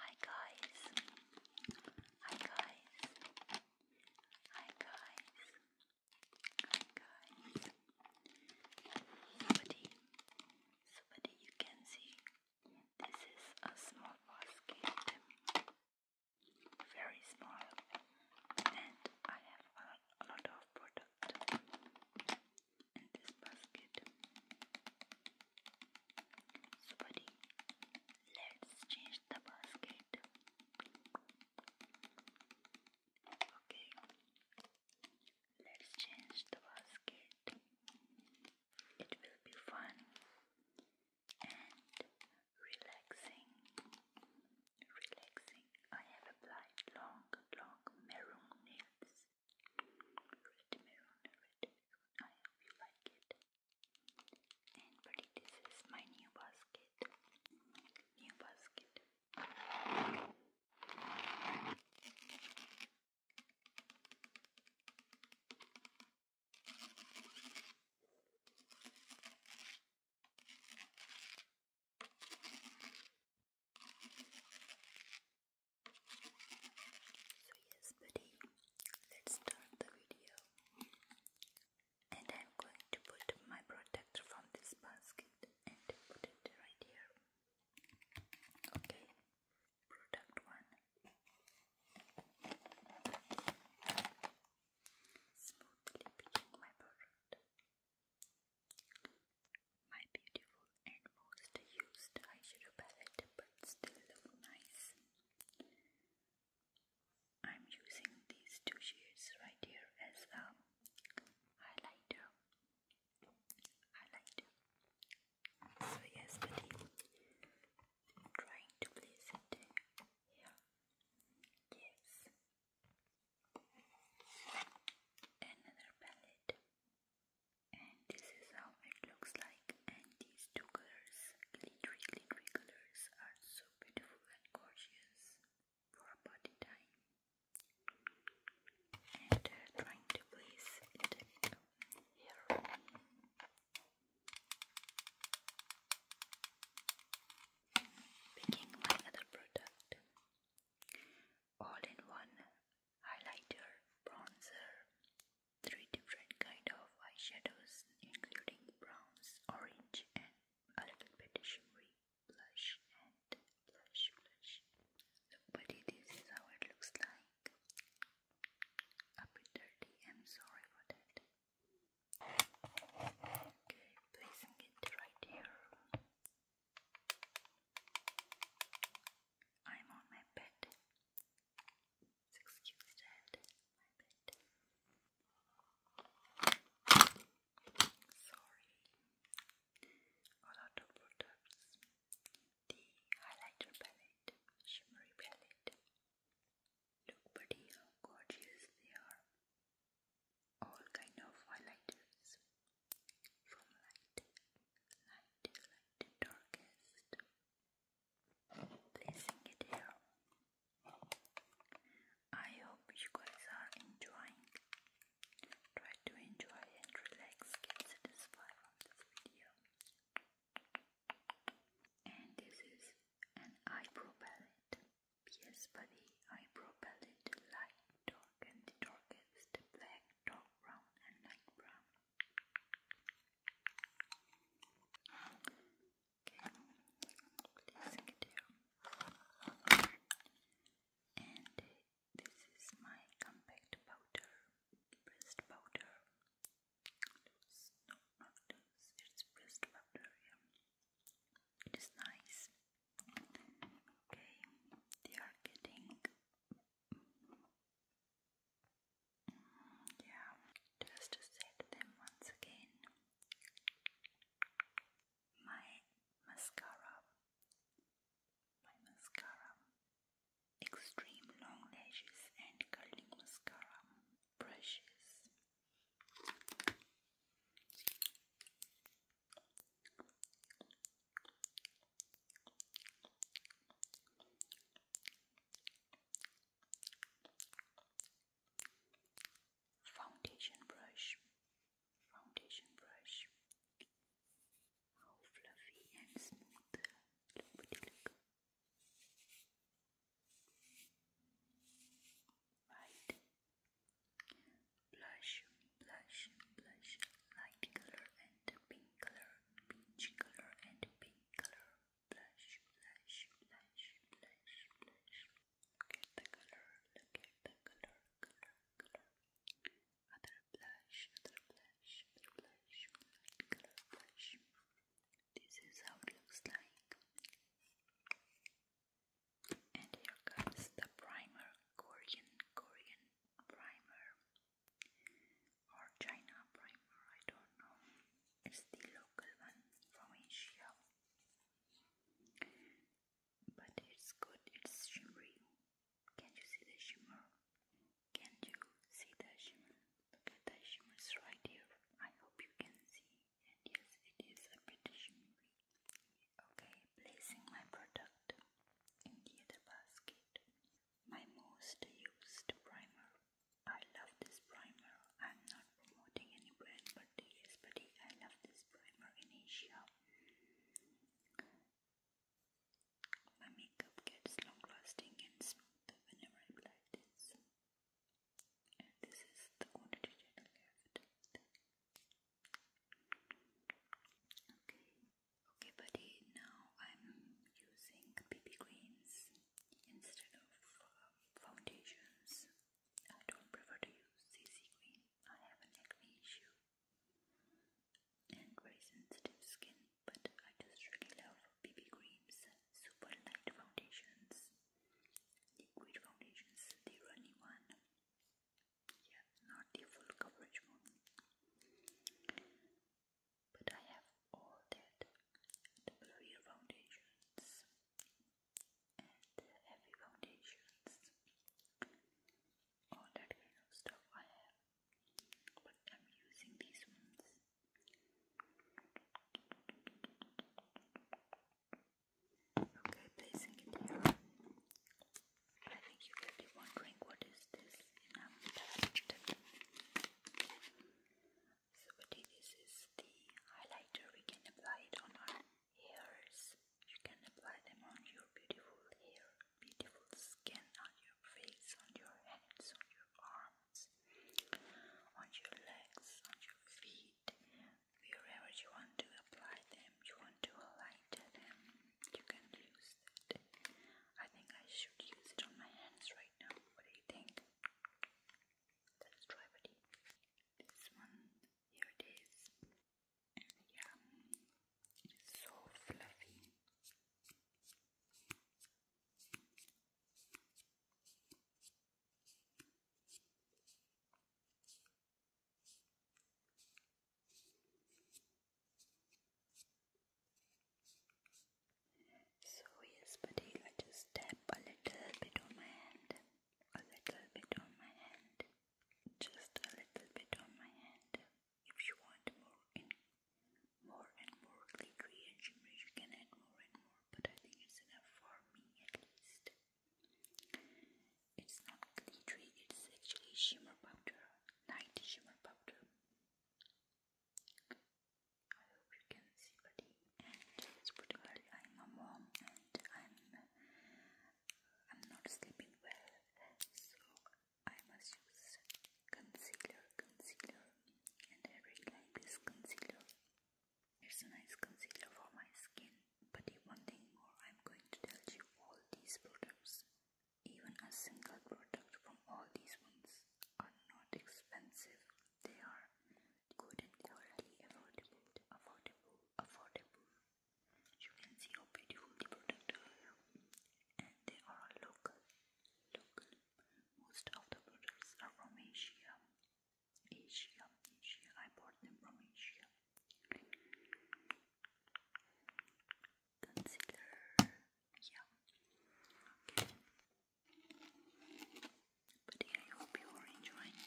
Hi guys. Hi guys. Hi guys. Hi guys. Somebody, somebody you can see. This is a small basket. Very small. And I have a, lot of product in this basket. So let's change the basket. Okay, let's change the basket. It will be fun and relaxing. Relaxing. I have applied long, long maroon nails red maroon, red I hope you like it. And but this is my new basket. New basket. So yes buddy, let's start the video. And I'm going to put my protector from this basket and put it right here. Okay, product one. Smoothly picking my product. My beautiful and most used eyeshadow palette, but still look nice. I'm using these two shades right here as a highlighter. Highlighter. So yes, buddy, trying to place it here. Yes. Another palette and this is how it looks like and these two colors glittery glittery colors are so beautiful and gorgeous for a time and trying to place it here picking my other product all in one highlighter, bronzer, three different kind of eyeshadows including browns, orange and a little bit shimmery blush and blush blush. Look buddy, this is how it looks like. A bit dirty, I'm sorry for that. Okay, placing it right here. I'm on my bed. Excuse that, my bed. Sorry, a lot The highlighter palette, shimmery palette. Look, buddy, how gorgeous they are. All kind of highlighters from light, light, light, darkest, placing it here. I hope you guys are enjoying. Try to enjoy and relax, get satisfied from this video. And this is an eyebrow palette. Yes, buddy, eyebrow palette, light, dark, and the darkest black dark brown and light brown. Okay, placing here. And this is my compact powder, pressed powder. no, not loose, it's pressed powder, yeah. It is nice. Okay, they are getting mm, yeah, just to set them once again. My mascara, my mascara, extreme long lashes and curling mascara brushes. Foundation brush, foundation brush. How fluffy and smooth! Look, pretty Right, Blush, blush, blush, light color and pink color, peach color and pink color. Blush, blush, blush, blush, blush. Look the color, look the color, color, color. Other blush, other blush, other blush, light blush. This is how it looks like. And here comes the primer, Korean, Korean primer or China primer, I don't know. It's the local one from Asia. But it's good, it's shimmery. Can you see the shimmer? Can you see the shimmer? Look at the shimmers right here. I hope you can see. And yes, it is a bit shimmery. Okay, placing my product in the other basket. My most used primer. I love this primer. I'm not promoting any brand, but yes, but I love this primer in Asia. My makeup gets long lasting and smooth whenever I apply this. And this is the quantity that Okay, okay, buddy. Now I'm using BB creams instead of um, foundations. I don't prefer to use CC cream. I have an acne issue and very sensitive skin, but I just really love BB creams, super light foundations, liquid foundations, the runny one yet not the full coverage one. But I have all that, the blurry foundations and heavy foundations, all that kind of stuff I have. But I'm using these ones. Okay, placing it here. I think you could be wondering what is this So buddy, this is the highlighter. We can apply it on our hairs. You can apply them on your beautiful hair, beautiful skin, on your face, on your hands, on your arms, on your legs, on your feet, wherever you want to apply them, you want to highlight them, you can use it. I think I should use it on my hands right now. What do you think? Let's try buddy. This one, here it is. Yeah, so fluffy. So yes, buddy, I just tap a little bit on my hand, a little bit on my hand, just a little bit on my hand. If you want more and more and more glittery you can add more and more. But I think it's enough for me at least. It's not glittery, it's actually shimmer powder, night shimmer powder. I hope you can see buddy. And it's particularly I'm a mom and I'm I'm not sleeping well, so I must use concealer, concealer, and I really like this concealer. It's a nice concealer for my skin. But one thing more, I'm going to tell you all these products. Even a single product from all these ones are not expensive. They are good in quality, affordable, affordable, affordable. You can see how beautiful the products And they are local. Local. Most of the products are from Asia. Asia, Asia. I bought them from Asia. Consider, yeah. Okay. But yeah, I hope you are enjoying.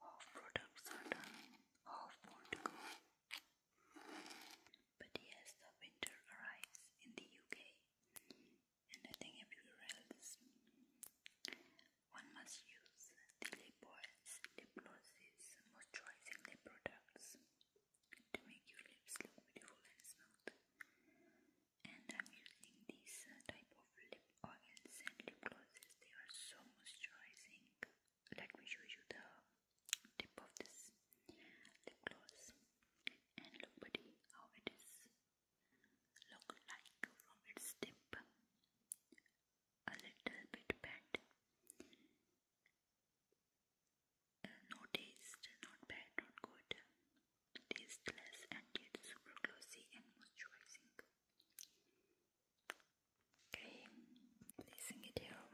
Half products are done, half more to go. But yes, the winter arrives in the UK and I think everywhere else. One must use lip oils, lip glosses, moisturizing lip products to make your lips look beautiful and smooth. And I'm using these uh, type of lip oils and lip glosses. They are so moisturizing. Let me show you the tip of this lip gloss and look buddy how it is look like from its tip a little bit bent uh, no taste not bad not good tasteless and yet super glossy and moisturizing okay placing it here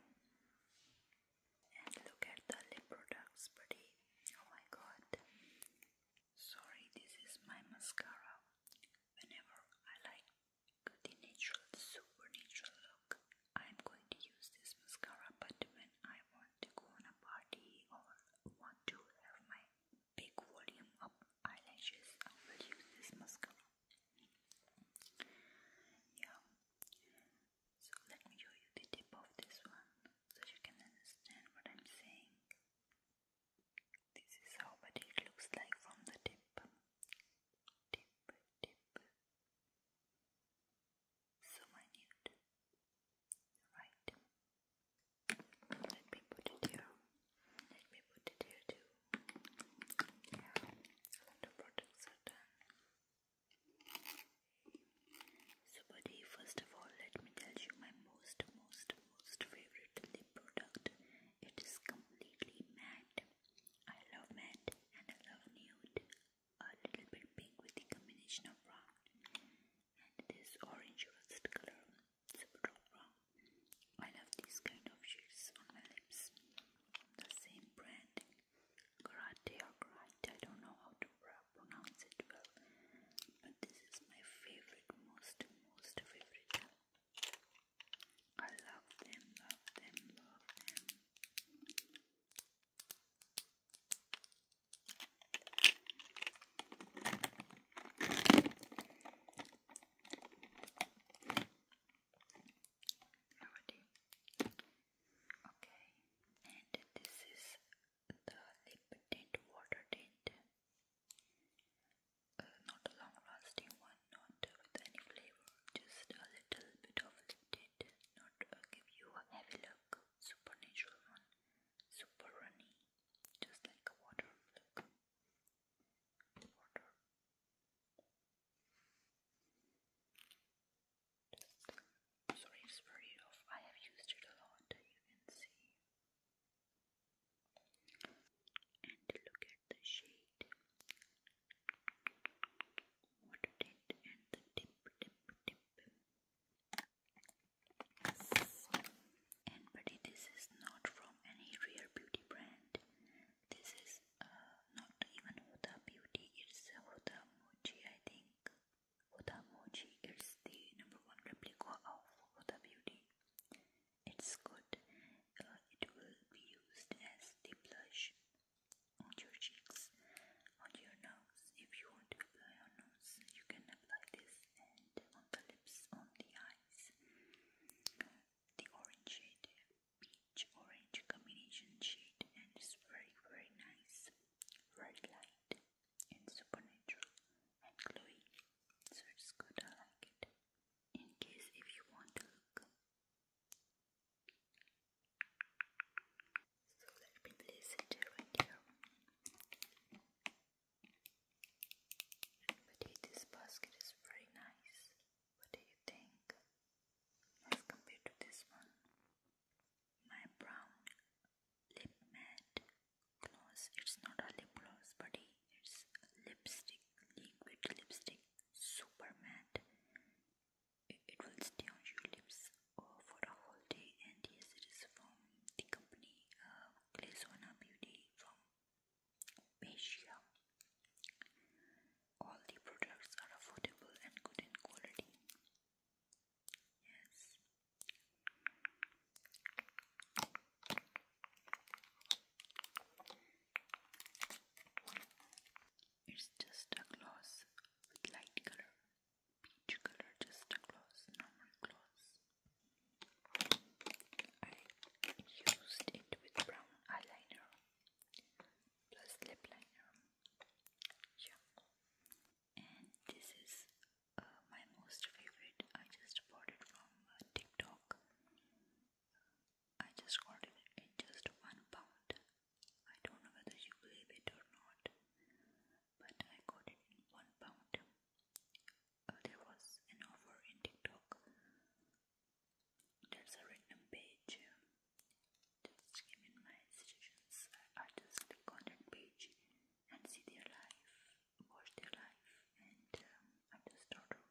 and look at the lip products pretty oh my god sorry this is my mascara whenever I like the natural super natural look I'm going to use this mascara but when I want to go on a party or want to have my big volume of eyelashes I will use this mascara yeah so let me show you the tip of this one so you can understand what I'm saying. This is how but it looks like from the tip. Tip, tip. So minute. Right. Let me put it here. Let me put it here too. Yeah, a lot of products are done. So buddy, first of all, let me tell you my most, most, most favorite lip product. It is completely matte. I love matte and I love nude. A little bit pink with a combination of brown. And this orange rust color. Super dark I love these kind of shades on my lips. The same brand karate or I don't know how to pronounce it but this is my favorite, most, most favorite. I love them, love them, love them already. Okay, and this is the lip tint, water tint. Uh, not a long lasting one, not with any flavor, just a little bit of tint. Not uh, give you a heavy look, super natural one, super runny, just like a water look. Sorry, I have used it a lot, you can see. And look at the shade. What it and the tip, tip, tip. And but this is not from any real beauty brand. This is is uh, not even Huda Beauty, it's Huda Mochi, I think. Huda Mochi is the number one replica of Huda Beauty. It's good. Uh, it will be used as the blush on your cheeks, on your nose. If you want to apply on nose, you can apply this, and on the lips, on the eyes. The orange shade peach orange combination shade and it's very very nice, very light and supernatural and glowy. So it's good, I like it. In case if you want to look. So let me place it right here. But this basket is very nice. What do you think? As compared to this one, my brown lip matte gloss. It's not a lip gloss, buddy. It's lipstick, liquid lipstick, super matte. It, will stay on your lips uh, for a whole day. And yes, it is from the company uh, Beauty from Asia all the products are affordable and good in quality. Yes. It's just a gloss light color, peach color, just a gloss, normal gloss. I used it with brown eyeliner plus lip liner yeah and this is uh, my most favorite I just bought it from uh, TikTok I just got it at just one pound I don't know whether you believe it or not but I got it in one pound uh, there was an offer in TikTok there's a random page. Um, just given my suggestions, I just click on that page and see their life, watch their life, and I just order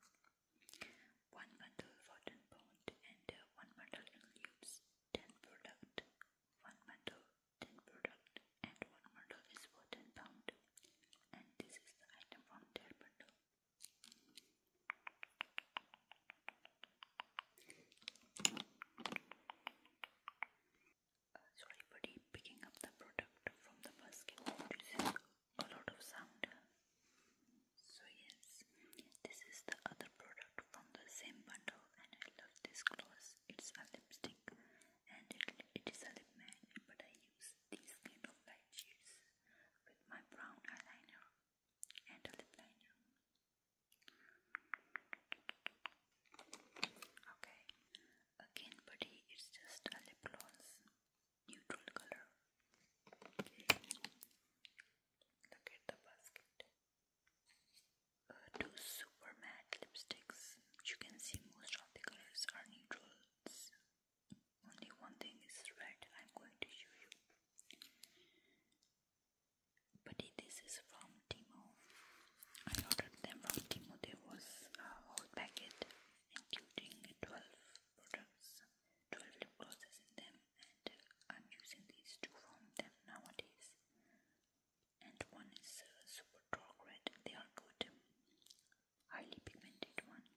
one bundle for ten pound and uh, one bundle includes ten product, one bundle ten product, and one bundle is for ten pound. And this is the item from their bundle. Uh, sorry buddy, picking up the product from the basket produces a lot of sound. So yes, this is the other product from the same bundle and I love this gloss. It's a lipstick and it, it is a lip matte but I use these kind of light shades with my brown eyeliner and a liner. Okay, again, buddy, it's just a lip gloss, neutral color. Okay. Look at the basket. Uh, two super matte lipsticks. You can see most of the colors are neutrals, only one thing is red I'm going to show you. But this is from Timo. I ordered them from Timo. There was a whole packet including 12 products, 12 lip glosses in them and I'm using these two from them nowadays. And one is uh, super dark red. They are good. Highly pigmented one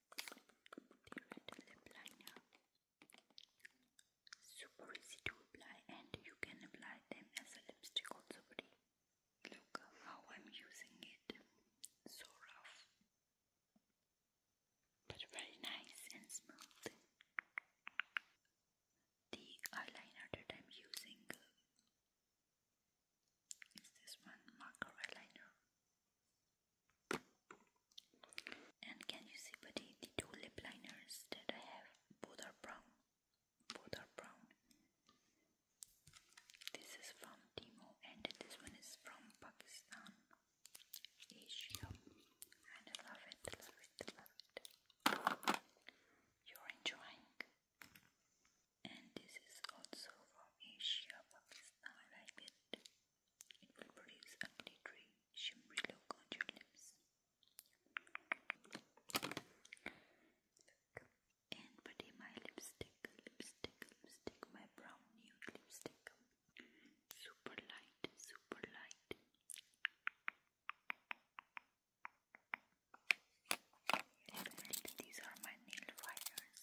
the red lip liner super easy to apply and you can apply them as a lipstick also pretty look how I'm using it so rough but very nice and smooth the eyeliner that I'm using is this one marker eyeliner and can you see buddy the two lip liners that I have both are brown both are brown this is from Timo and this one is from Pakistan Asia I love it love it love it you're enjoying and this is also from Asia Pakistan I like it will produce a glittery, shimmery look on your lips. And buddy, my lipstick, lipstick, lipstick, my brown nude lipstick. Super light, super light. These are my nail wires.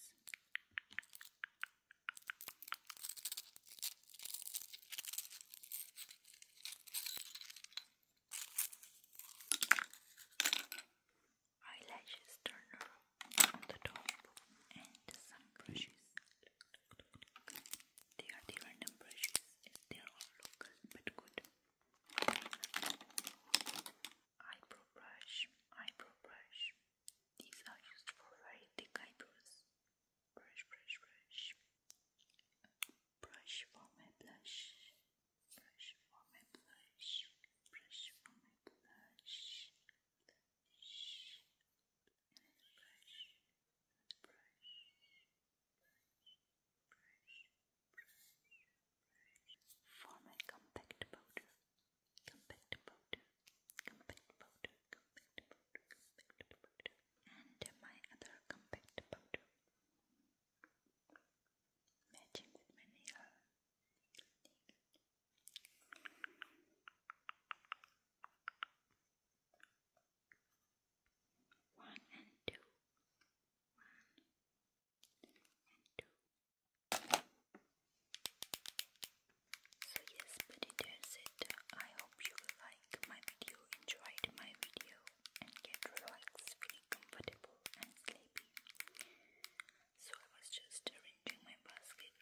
Eyelashes turn on the top and some brushes. They are the random brushes. They all local but good eyebrow brush, eyebrow brush. These are used for very thick eyebrows. Brush, brush, brush. Brush for my blush. Brush for my blush. Brush for my blush. Blush. Brush. Brush. Brush. Brush. Brush. Brush. For my compact powder. Come back powder. Come powder. Come powder. Come powder. And my other compact powder. Matching with my nail. One and two. One and two. So yes, but that's it. I hope you like my video, enjoyed my video and get relaxed, feeling comfortable and sleepy. So I was just arranging my basket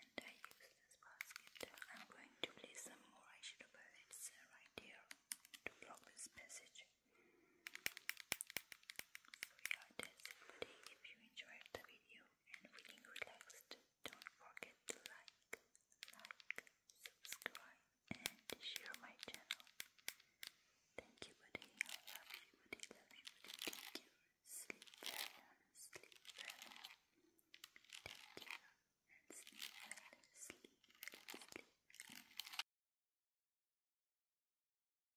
and I use this basket. I'm going to place some more eyeshadow palettes right here to block this message. So yeah, that's you enjoyed the video and feeling relaxed, don't forget to like, like, subscribe and share my channel. Thank you buddy, I love you buddy, love you buddy, thank you. Sleep well, sleep well. Thank you sleep well, sleep well.